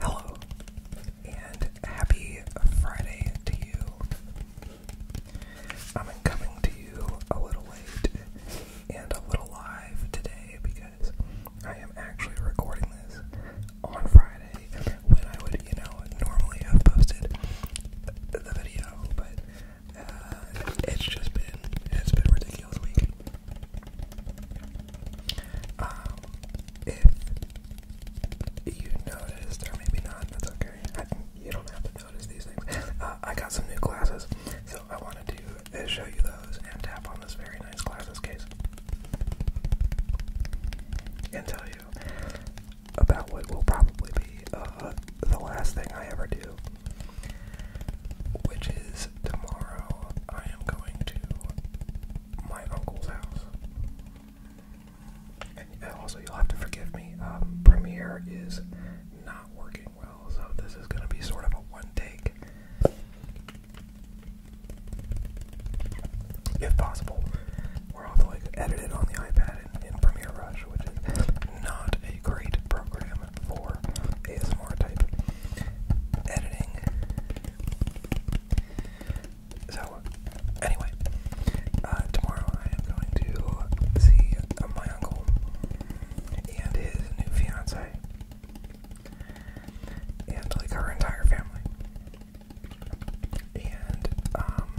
Hello, and happy Friday to you. I'm coming to you a little late and a little live today because I am actually recording this on Friday when I would, you know, normally have posted the video, but uh, it's just been it's been ridiculous week. Um, if you noticed, or maybe not, that's okay. I, you don't have to notice these things. Uh, I got some new glasses, so I wanted to uh, show you those and tap on this very nice glasses case and tell you about what will probably be the last thing I ever do which is tomorrow I am going to my uncle's house. And uh, also, you'll have to forgive me, um, Premiere is not working well, so this is going to be sort of a one take. If possible, We're will like edited on the iPad that in, Premiere Rush, which is not a great program for ASMR type editing. So, anyway, uh, tomorrow I am going to see my uncle and his new fiance and like our entire family. And um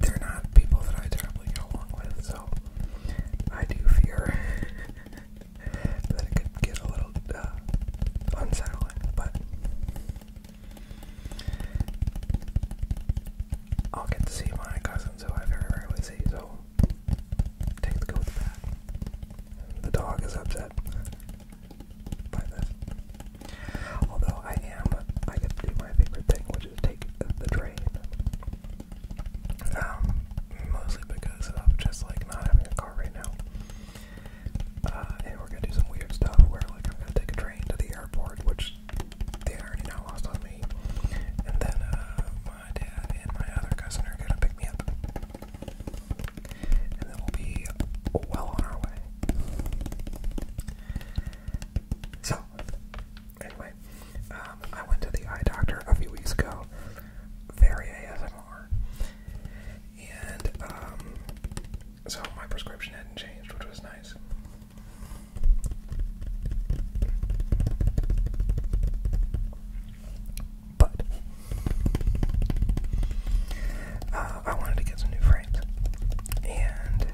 they're not people that I terribly along with, so I do fear that it could get a little uh, unsettling. But I'll get to see my cousins who I very rarely see, so take the good with the bad. The dog is upset by this. Although I am, I get to do my favorite thing, which is take the train. Um, mostly because of just like not having a car right now. Uh, and we're gonna do some weird stuff where like I'm gonna take a train to the airport, which they already now lost on me. And then uh, my dad and my other cousin are gonna pick me up. And then we'll be well on our way. So, anyway, um, I went to the eye doctor a few weeks ago. Very ASMR. And, um, so my prescription hadn't changed, which was nice. But, uh, um, I wanted to get some new frames, and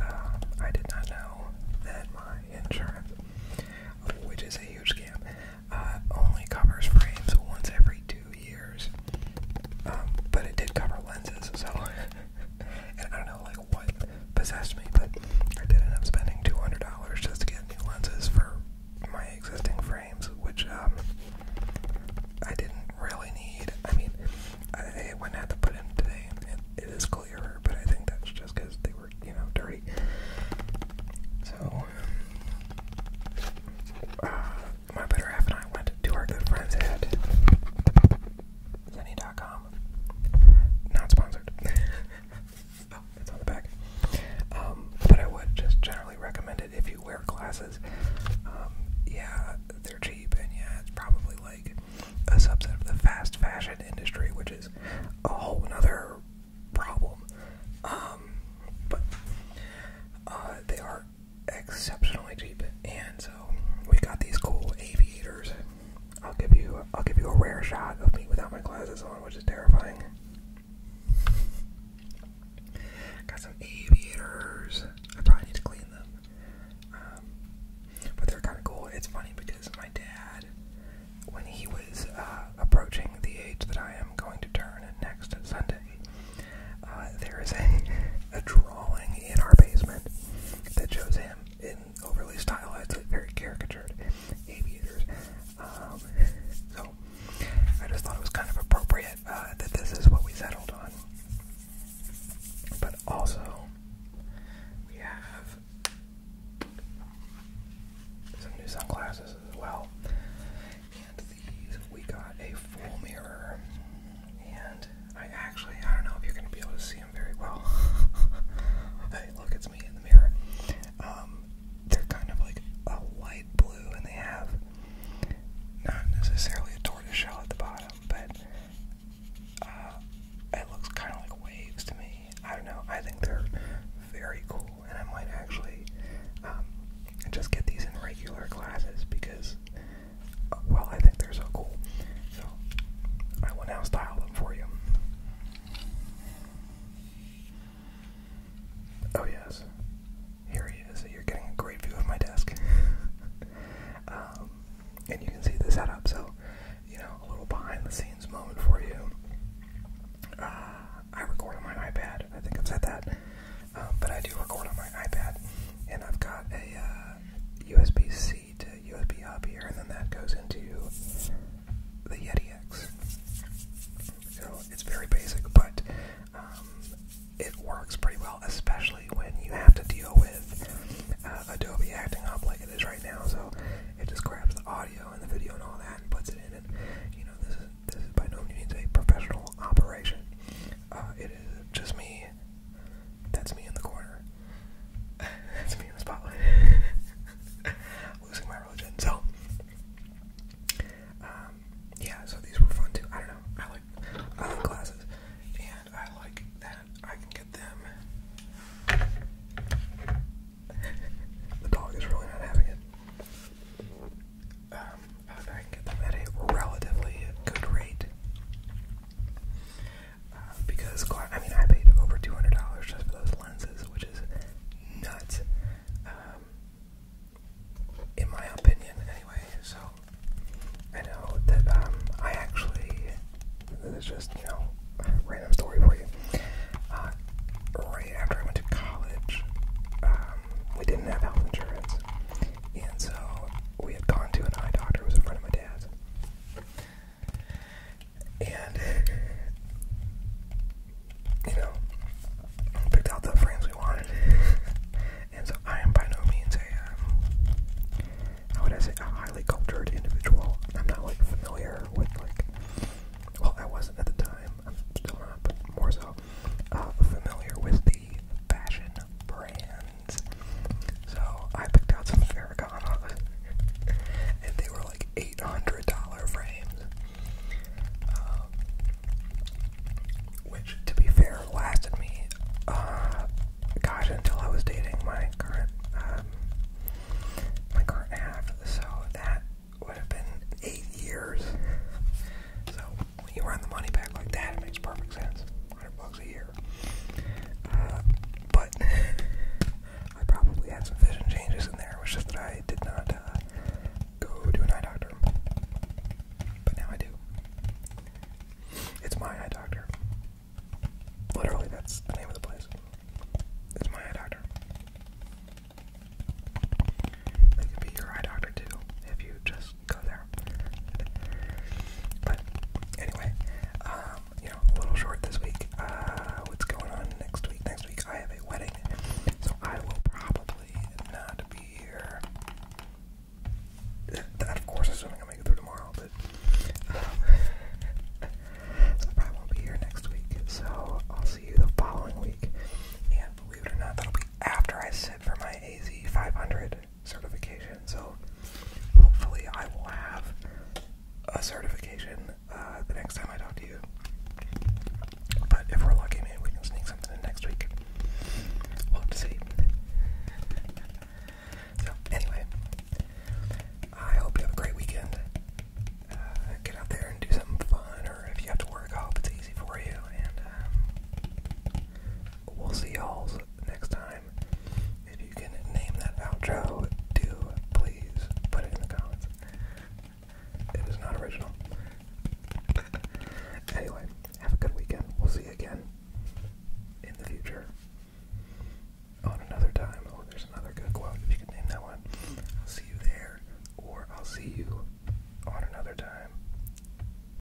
um, I did not know that my insurance, which is a huge scam, uh, only covers frames once every two years. Um, but it did cover lenses, so and I don't know like what possessed me, but I did end up spending two hundred dollars just to get new lenses for my existing frame frames, which um, I didn't really need. I mean, I went had to put in today, and it is clearer, but I think that's just because they were, you know, dirty. So, uh, my better half and I went to our good friends at Zenny.com. Not sponsored. oh, it's on the back. Um, but I would just generally recommend if you wear glasses. Um, yeah, they're cheap, and yeah, it's probably like a subset of the fast fashion industry, which is a whole nother problem. Um, but uh, they are exceptionally cheap, and so we have got these cool aviators. I'll give you, I'll give you a rare shot of me without my glasses on, which is terrifying. Got some aviators. I probably need to clean them. Um, but they're kind of cool. It's funny because my dad, when he was uh, approaching the age that I am going to turn next Sunday, uh, there is a, a drawing in our basement that shows him in overly stylized, like very caricatured aviators um, so I just thought it was kind of appropriate uh, that this is what we settled on. But also, we have some new sunglasses as well. And these, we got a full mirror. And I actually, I don't know if you're going to be able to see him very well. hey, look, it's me in the mirror. Um, they're kind of like a light blue, and they have not necessarily a tortoise shell at the bottom, but uh, it looks kind of like waves to me. I don't know. I think they're very cool, and I might actually um, just get these in regular classes because, well, I think they're so cool. So I will now style them for you. Oh yes, here he is. You're getting a great view of my desk, um, and you can see the setup. So, you know, a little behind-the-scenes moment for you. Uh, I record on my iPad. I think I've said that, um, but I do record on my iPad, and I've got a USB-C uh, to USB hub here, and then that goes into the Yeti it's very basic, but um, it works pretty well, especially when you have to deal with uh, Adobe acting up like it is right now. So it just grabs the audio and the video and all that and puts it in. And you know, this is this is by no means a professional operation. Uh, it is just me. That's me in the corner. That's me in the spotlight. losing my religion. So, um, yeah, so these were fun too. I don't know. I like I like classes, and I like that I can get them. the dog is really not having it. Um, I can get them at a relatively good rate uh, because I mean I paid over two hundred dollars just for those lenses, which is nuts, um, in my opinion. Anyway, so I know that um, I actually this is just you know a random story for you. Uh, right after I went to college, um, we didn't have health insurance, and so we had gone to an eye doctor who was a friend of my dad's and you know, picked out the frames we wanted. and so I am by no means a, um, how would I say, a highly cultured individual. I'm not like familiar with like, well, I wasn't at the time. I'm still not, more so, uh, familiar with the fashion brands so I picked out some Ferragamo, and they were like eight hundred dollar frames. Um, which, to be fair, lasted me, uh, gosh, until I was dating my current, um, my current half. So that would have been eight years. So when you run the money back like that, it makes perfect sense a year. Uh, but I probably had some vision changes in there. It was just that I did not uh, go to an eye doctor. But now I do. It's my eye doctor. Literally, that's the name of the place. It's my eye doctor. They can be your eye doctor too if you just go there. But anyway, uh, um, you know, a little short this week. Uh, what's going on next week? Next week I have a wedding, so I will probably not be here. of course, assuming I make it through tomorrow, but uh, I probably won't be here next week. So I'll see you the following week. And believe it or not, that'll be after I sit for my AZ 500 certification. So hopefully, I will have a certification uh, the next time I talk to you. But if we're lucky, maybe we can sneak something in next week. We'll have to see. So, anyway, I hope you have a great weekend. Uh, get out there and do something fun, or if you have to work, I hope it's easy for you. And um, we'll see y'all next time. If you can name that outro, do please put it in the comments. It is not original. anyway, have a good weekend. We'll see you again in the future. On another time. Oh, there's another good quote. If you can name that one. I'll see you there. Or I'll see you on another time.